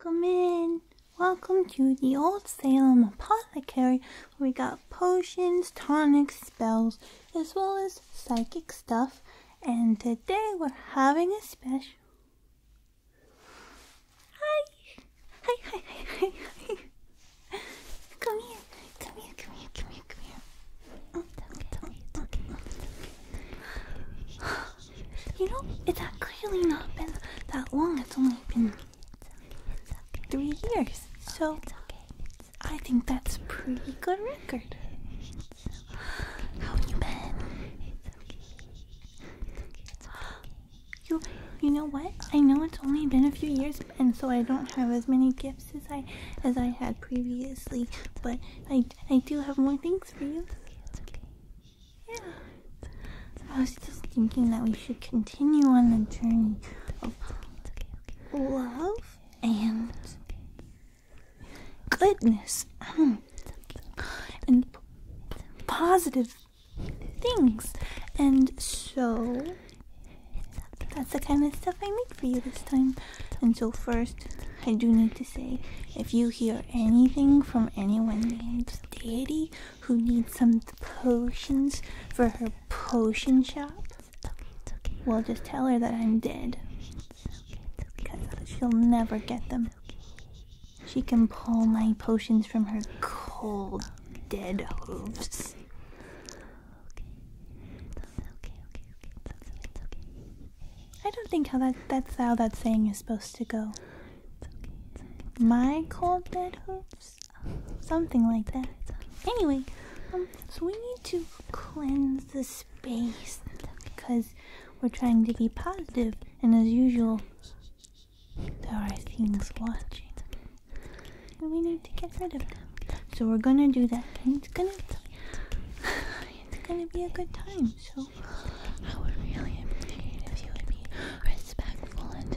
Welcome in! Welcome to the Old Salem Apothecary we got potions, tonics, spells, as well as psychic stuff. And today we're having a special. Hi! Hi, hi, hi, hi, Come here, come here, come here, come here, come here. Oh, you know, it's actually not been that long. It's only been Three years. So I think that's a pretty good record. It's okay. you been? You, you know what? I know it's only been a few years, and so I don't have as many gifts as I as I had previously. But I, I do have more things for you. Yeah. I was just thinking that we should continue continue on the journey of love and goodness hmm. and positive things. And so that's the kind of stuff I made for you this time. And so, first, I do need to say if you hear anything from anyone named Deity who needs some potions for her potion shop. It's okay, it's okay. just tell her that I'm dead. she'll never get them. She can pull my potions from her cold, dead hooves. I don't think how that that's how that saying is supposed to go. My cold dead hooves. Something like that. Anyway, um, so we need to cleanse the space because we're trying to be positive, and as usual, there are things watching, and we need to get rid of them. So we're gonna do that, and it's gonna it's gonna be a good time. So I would really appreciate if you would be respectful and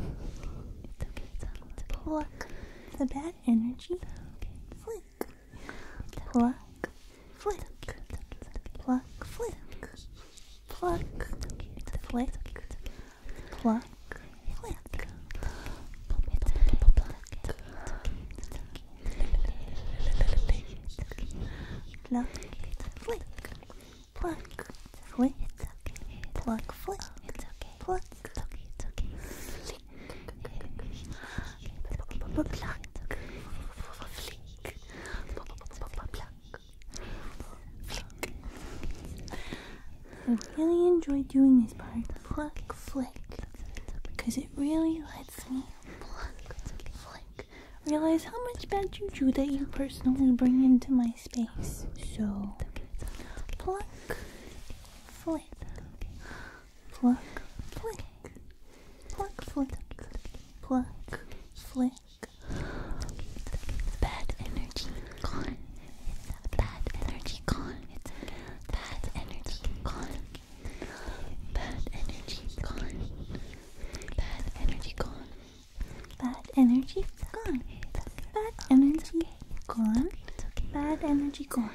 Oh, it's okay, it's okay, it's okay. Pluck the bad energy. Okay. Flick. Okay. Pluck. Flick. Okay. Pluck. Flick. Pluck. Flick. Pluck. Flick. Pluck. Flick. Pluck. Wait, it's okay. Pluck, flick. It's okay. Pluck. It's okay. It's okay. Flick. Pluck. Flick. Pluck. I really enjoy doing this part. Pluck, flick. Because it really lets me pluck, flick. Realize how much bad juju that you personally bring into my my space. So pluck, flick, pluck, flick, pluck, flick, pluck, flick. Bad energy gone. Bad energy gone. Bad energy gone. Bad energy gone. Bad energy gone. Bad energy gone. Bad energy gone. Bad energy gone.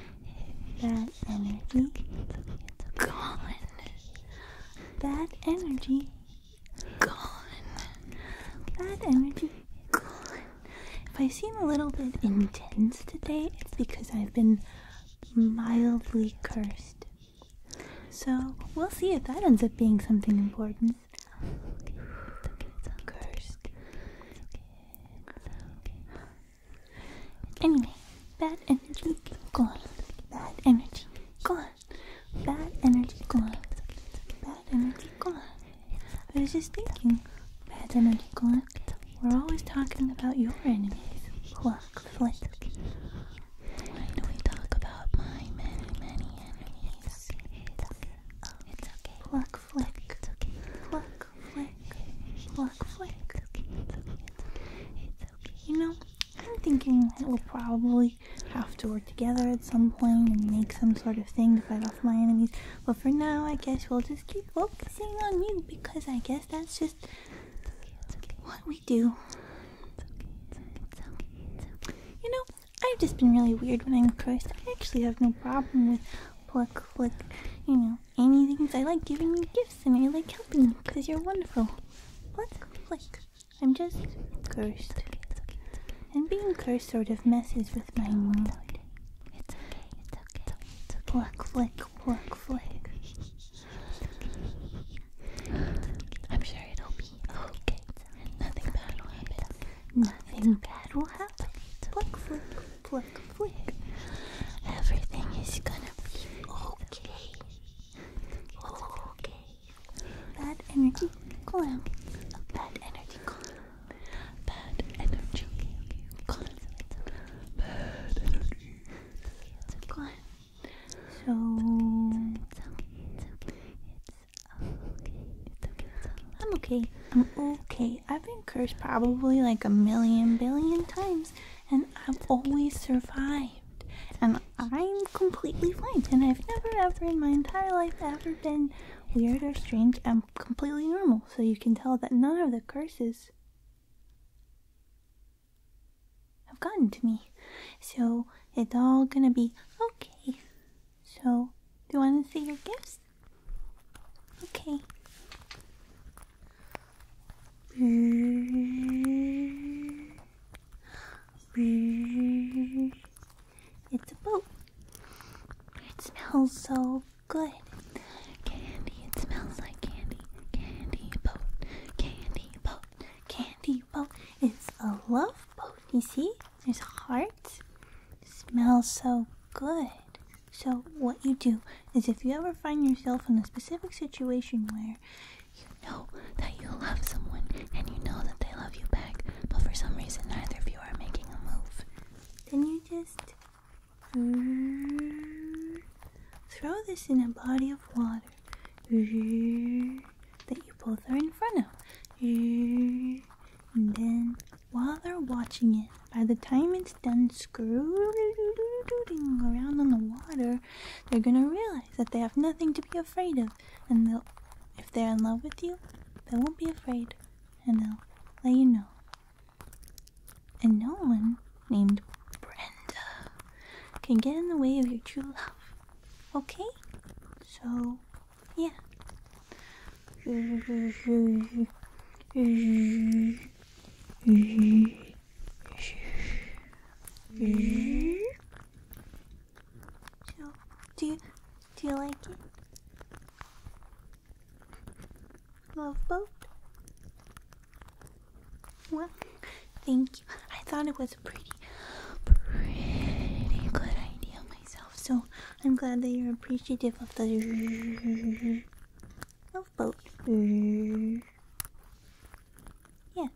Bad energy gone. Bad energy gone. Bad energy gone. If I seem a little bit intense today, it's because I've been mildly cursed so we'll see if that ends up being something important. Okay, Anyway, bad energy gone. Bad energy gone. Bad energy gone. Bad energy gone. I was just thinking, bad energy gone. We're always talking about your enemies. Pluck, flick. I know we talk about my many, many enemies. It's okay. It's okay. Oh, flick. It's okay. Pluck, flick. Pluck, flick. It's okay. It's okay. It's okay. You know, I'm thinking we'll probably have to work together at some point and make some sort of thing to fight off my enemies. But for now, I guess we'll just keep focusing on you because I guess that's just what we do. You know, I've just been really weird when I'm cursed. I actually have no problem with pluck, flick, you know, anything. I like giving you gifts and I like helping you because you're wonderful. Pluck, flick. I'm just cursed. And being cursed sort of messes with my mood. It's okay, it's okay, it's okay. Pluck, flick, pluck, flick. I'm sure it'll be okay. Nothing bad will happen. Nothing bad will happen. Flick, flick, flick, Everything is gonna be okay. Okay. Bad energy clam. Bad energy clam. Bad energy clam. Bad energy clam. So it's okay. It's okay. It's okay. I'm okay. I'm okay. I've been cursed probably like a million billion times, and I've always survived. And I'm completely fine. And I've never ever in my entire life ever been weird or strange. I'm completely normal. So you can tell that none of the curses have gotten to me. So it's all gonna be okay. So, do you want to see your gifts? Okay. It's a boat. It smells so good. Candy, it smells like candy. Candy boat, candy boat, candy people. It's a love boat. You see, there's hearts. smells so good. So what you do is, if you ever find yourself in a specific situation where you know that you love someone and you know that they love you back, but for some reason neither of you are making a move, then you just throw this in a body of water that you both are in front of. And then while they're watching it, by the time it's done screwing around on the water, they're gonna realize that they have nothing to be afraid of. And they'll, if they're in love with you, they won't be afraid. And they'll let you know. And no one named Brenda can get in the way of your true love. Okay? So, yeah. do you, do you like it? Love boat? Well, thank you. I thought it was a pretty, pretty good idea myself. So I'm glad that you're appreciative of the of both. Yeah.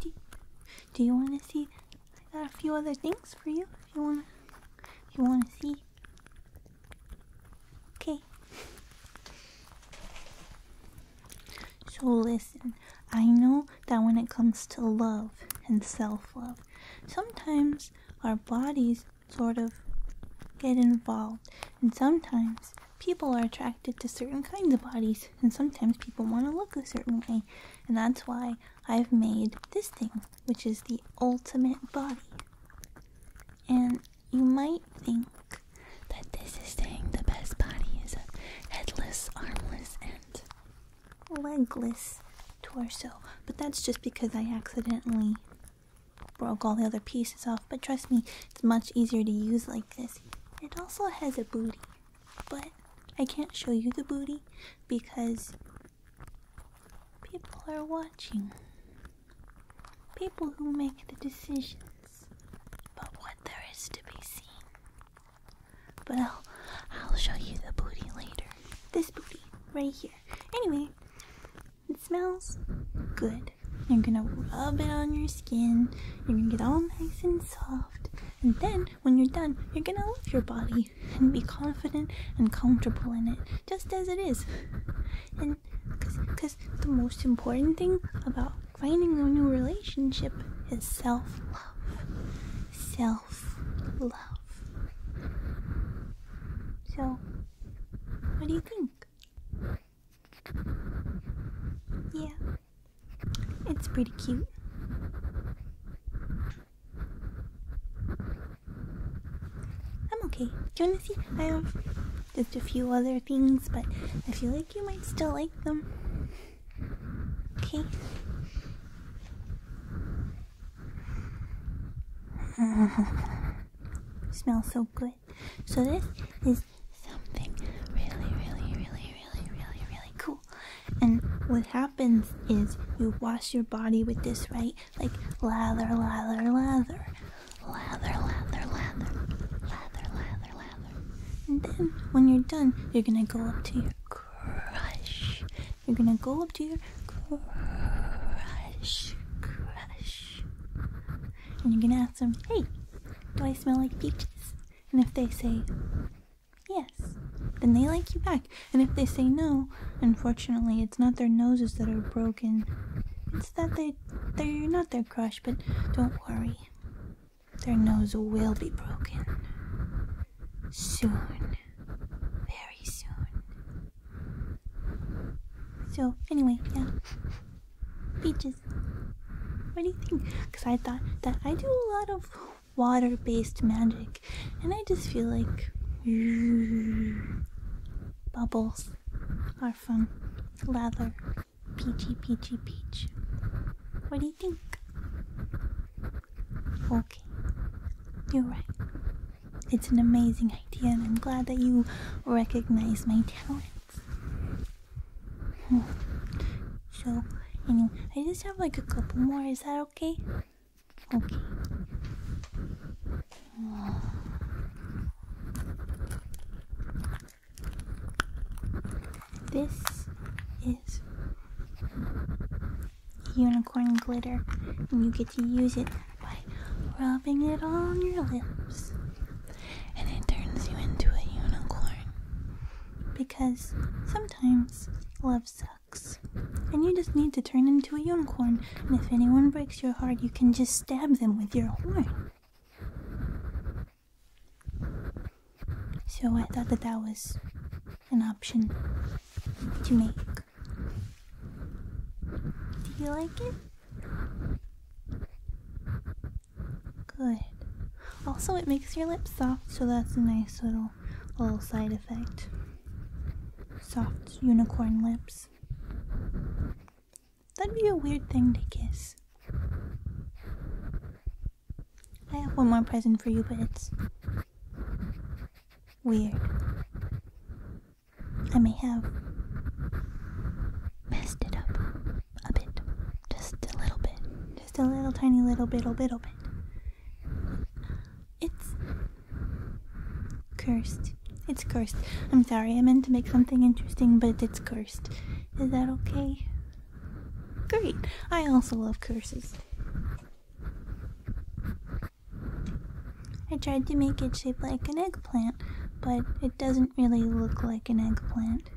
Do, do you want to see? I got a few other things for you. If you want, if you want to see. Okay. So listen, I know that when it comes to love and self love, sometimes our bodies sort of get involved, and sometimes people are attracted to certain kinds of bodies, and sometimes people want to look a certain way, and that's why I've made this thing, which is the ultimate body. And you might think that this is saying the best body is a headless, armless, and legless torso. But that's just because I accidentally broke all the other pieces off. But trust me, it's much easier to use like this. It also has a booty, but I can't show you the booty because people are watching. People who make the decisions but what there is to be seen. But I'll, show you the booty later. This booty, right here. Anyway, it smells good. You're gonna rub it on your skin, you're gonna get all nice and soft, and then when you're done, you're gonna love your body and be confident and comfortable in it, just as it is. And because the most important thing about Finding a new relationship is self love. Self love. So, what do you think? Yeah, it's pretty cute. I'm okay. Do you want to see? I have just a few other things, but I feel like you might still like them. Okay. Smells so good. So this is something really, really, really, really, really, really cool. And what happens is you wash your body with this, right? Like lather, lather, lather. Lather, lather, lather. Lather, lather, lather. And then when you're done, you're gonna go up to your crush. You're gonna go up to your crush. Crush. And you're gonna ask them, hey, do I smell like peaches? And if they say yes, then they like you back. And if they say no, unfortunately, it's not their noses that are broken. It's that they they're not their crush, but don't worry. Their nose will be broken. Soon. Very soon. So, anyway, yeah. Beaches. What do you think? Because I thought that I do a lot of water based magic, and I just feel like bubbles are fun. Lather Peachy, peachy, peach. What do you think? Okay, you're right. It's an amazing idea, and I'm glad that you recognize my talents. Hmm. So, anyway, I just have like a couple more. Is that okay? Okay. This is unicorn glitter, and you get to use it by rubbing it on your lips. And it turns you into a unicorn. Because sometimes love sucks. And you just need to turn into a unicorn. And if anyone breaks your heart, you can just stab them with your horn. So I thought that that was an option to make. Do you like it? Good. Also, it makes your lips soft, so that's a nice little little side effect. Soft unicorn lips. That'd be a weird thing to kiss. I have one more present for you, but it's weird. I may have messed it up a bit. Just a little bit. Just a little tiny little bittle bittle bit. It's Cursed. It's cursed. I'm sorry, I meant to make something interesting, but it's cursed. Is that okay? Great. I also love curses. I tried to make it shape like an eggplant, but it doesn't really look like an eggplant.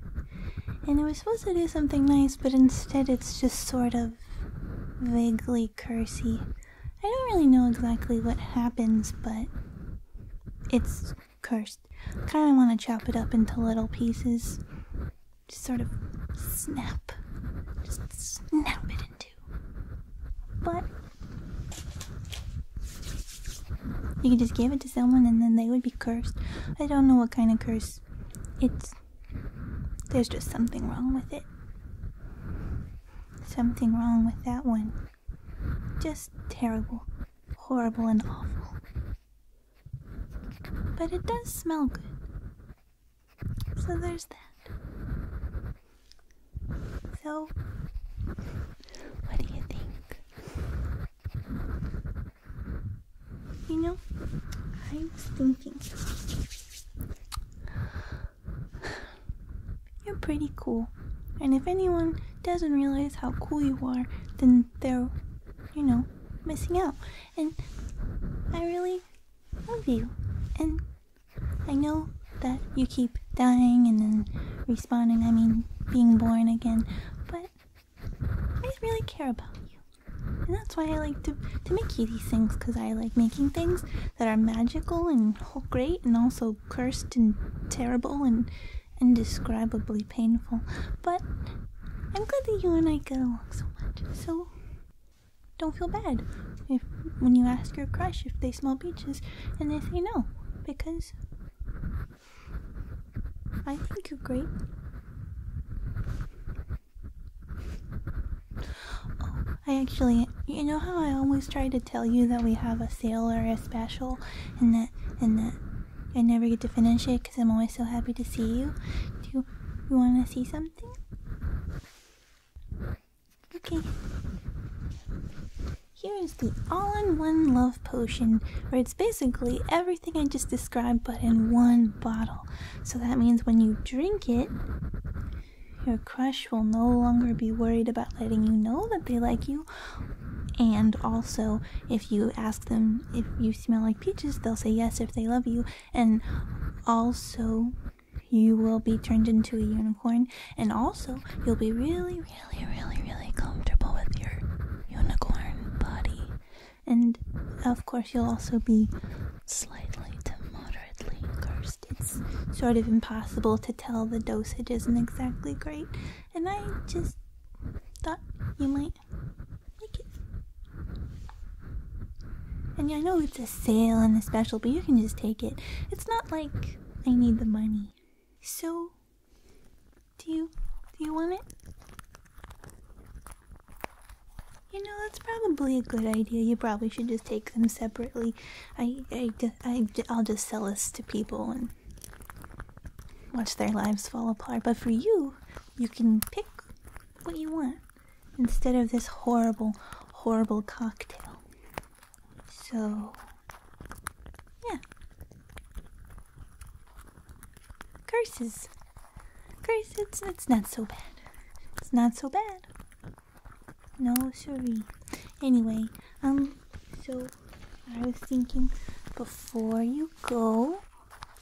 And I was supposed to do something nice, but instead it's just sort of vaguely cursy. I don't really know exactly what happens, but it's cursed. Kind of want to chop it up into little pieces. Just sort of snap. Just snap it into. two. But you could just give it to someone and then they would be cursed. I don't know what kind of curse. It's. There's just something wrong with it. Something wrong with that one. Just terrible, horrible, and awful. But it does smell good. So there's that. So, what do you think? You know, I was thinking you're pretty cool. And if anyone doesn't realize how cool you are, then they're, you know, missing out. And I really love you. And I know that you keep dying and then responding, I mean, being born again, but I really care about you. And that's why I like to, to make you these things, because I like making things that are magical and great and also cursed and terrible and indescribably painful. But I'm glad that you and I get along so much. So don't feel bad if when you ask your crush if they smell beaches and they say no, because I think you're great. Oh, I actually, you know how I always try to tell you that we have a sale or a special and that and that I never get to finish it because I'm always so happy to see you. Do you want to see something? Okay. Here is the all-in-one love potion, where it's basically everything I just described but in one bottle. So that means when you drink it, your crush will no longer be worried about letting you know that they like you. And also, if you ask them if you smell like peaches, they'll say yes if they love you. And also, you will be turned into a unicorn. And also, you'll be really, really, really, really comfortable with your unicorn body. And of course, you'll also be slightly to moderately cursed it's sort of impossible to tell the dosage isn't exactly great and i just thought you might like it and i know it's a sale and a special but you can just take it it's not like i need the money so do you do you want it you know that's probably a good idea you probably should just take them separately I, I, I, will just sell this to people and watch their lives fall apart. But for you, you can pick what you want instead of this horrible, horrible cocktail. So, yeah. Curses. Curse, it's not so bad. It's not so bad. No, sorry. Anyway, um, so I was thinking before you go,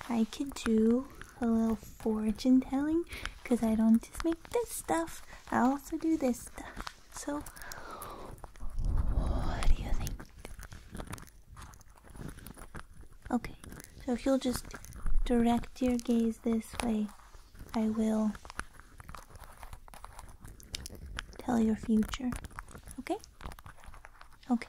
I could do a little fortune telling because I don't just make this stuff, I also do this stuff. So, what do you think? Okay, so if you'll just direct your gaze this way, I will Tell your future. Okay? Okay.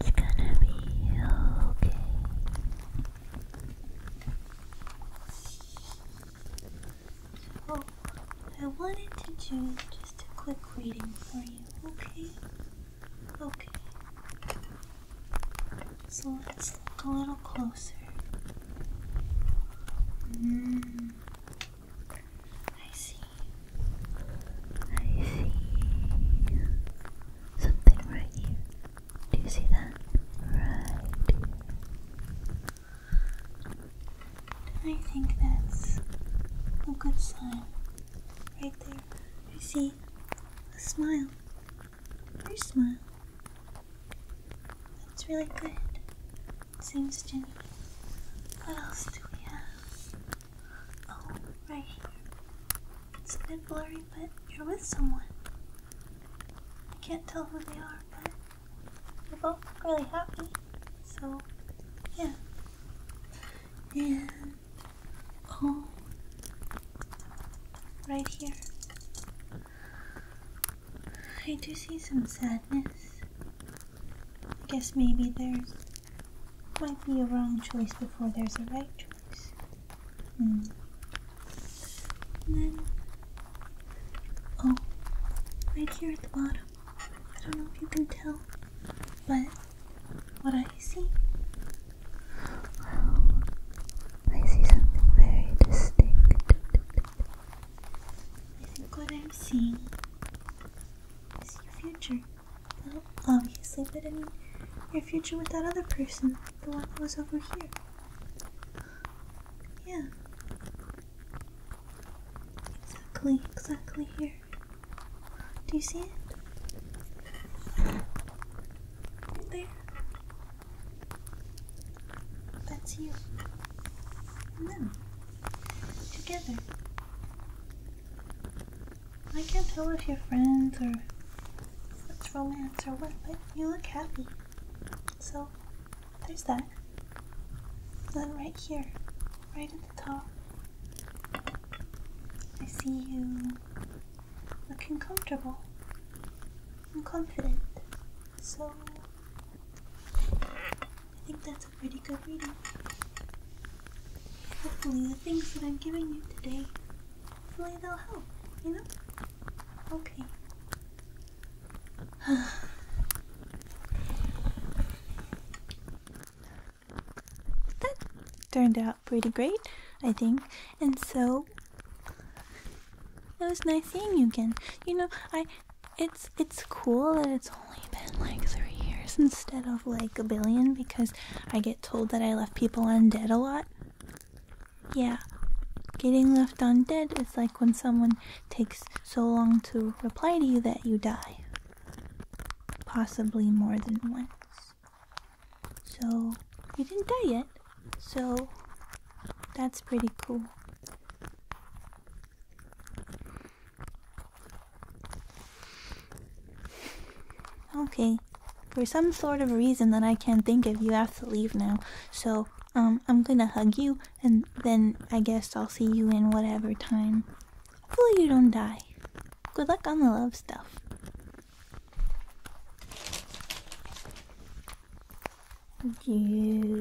It's gonna be okay. So, oh, I wanted to do just a quick reading for you, okay? Okay. So let's look a little closer. Mm. I see. I see something right here. Do you see that? Right I think that's a good sign. Right there. you see a smile. Your smile. That's really good. Seems genuine. What else do we have? Oh, right here. It's a bit blurry, but you're with someone. I can't tell who they are, but you are both really happy. So, yeah and oh right here I do see some sadness. I guess maybe there's might be a wrong choice before there's a right choice. Hmm. And then oh right here at the bottom. I don't know if you can tell. But what I see? Well, I see something very distinct. I think what I'm seeing is your future. Well, obviously, but I mean, your future with that other person, the one who was over here. Yeah. Exactly, exactly here. Do you see it? there. That's you. And them. Together. I can't tell if you're friends or if it's romance or what, but you look happy. So, there's that. And then right here, right at the top, I see you looking comfortable and confident. So, I think that's a pretty good reading. Hopefully, the things that I'm giving you today, hopefully they'll help, you know? Okay. that turned out pretty great, I think. And so it was nice seeing you again. You know, I it's it's cool that it's only been like three years instead of like a billion because I get told that I left people undead a lot. Yeah. Getting left undead is like when someone takes so long to reply to you that you die possibly more than once. So, you didn't die yet. So, that's pretty cool. Okay. For some sort of reason that I can't think of, you have to leave now. So, um, I'm gonna hug you, and then I guess I'll see you in whatever time Hopefully you don't die. Good luck on the love stuff. Come here.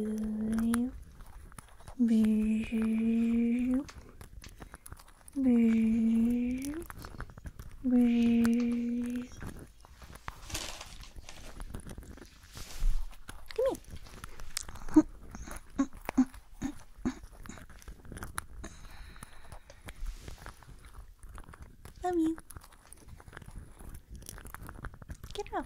Love you. Get up.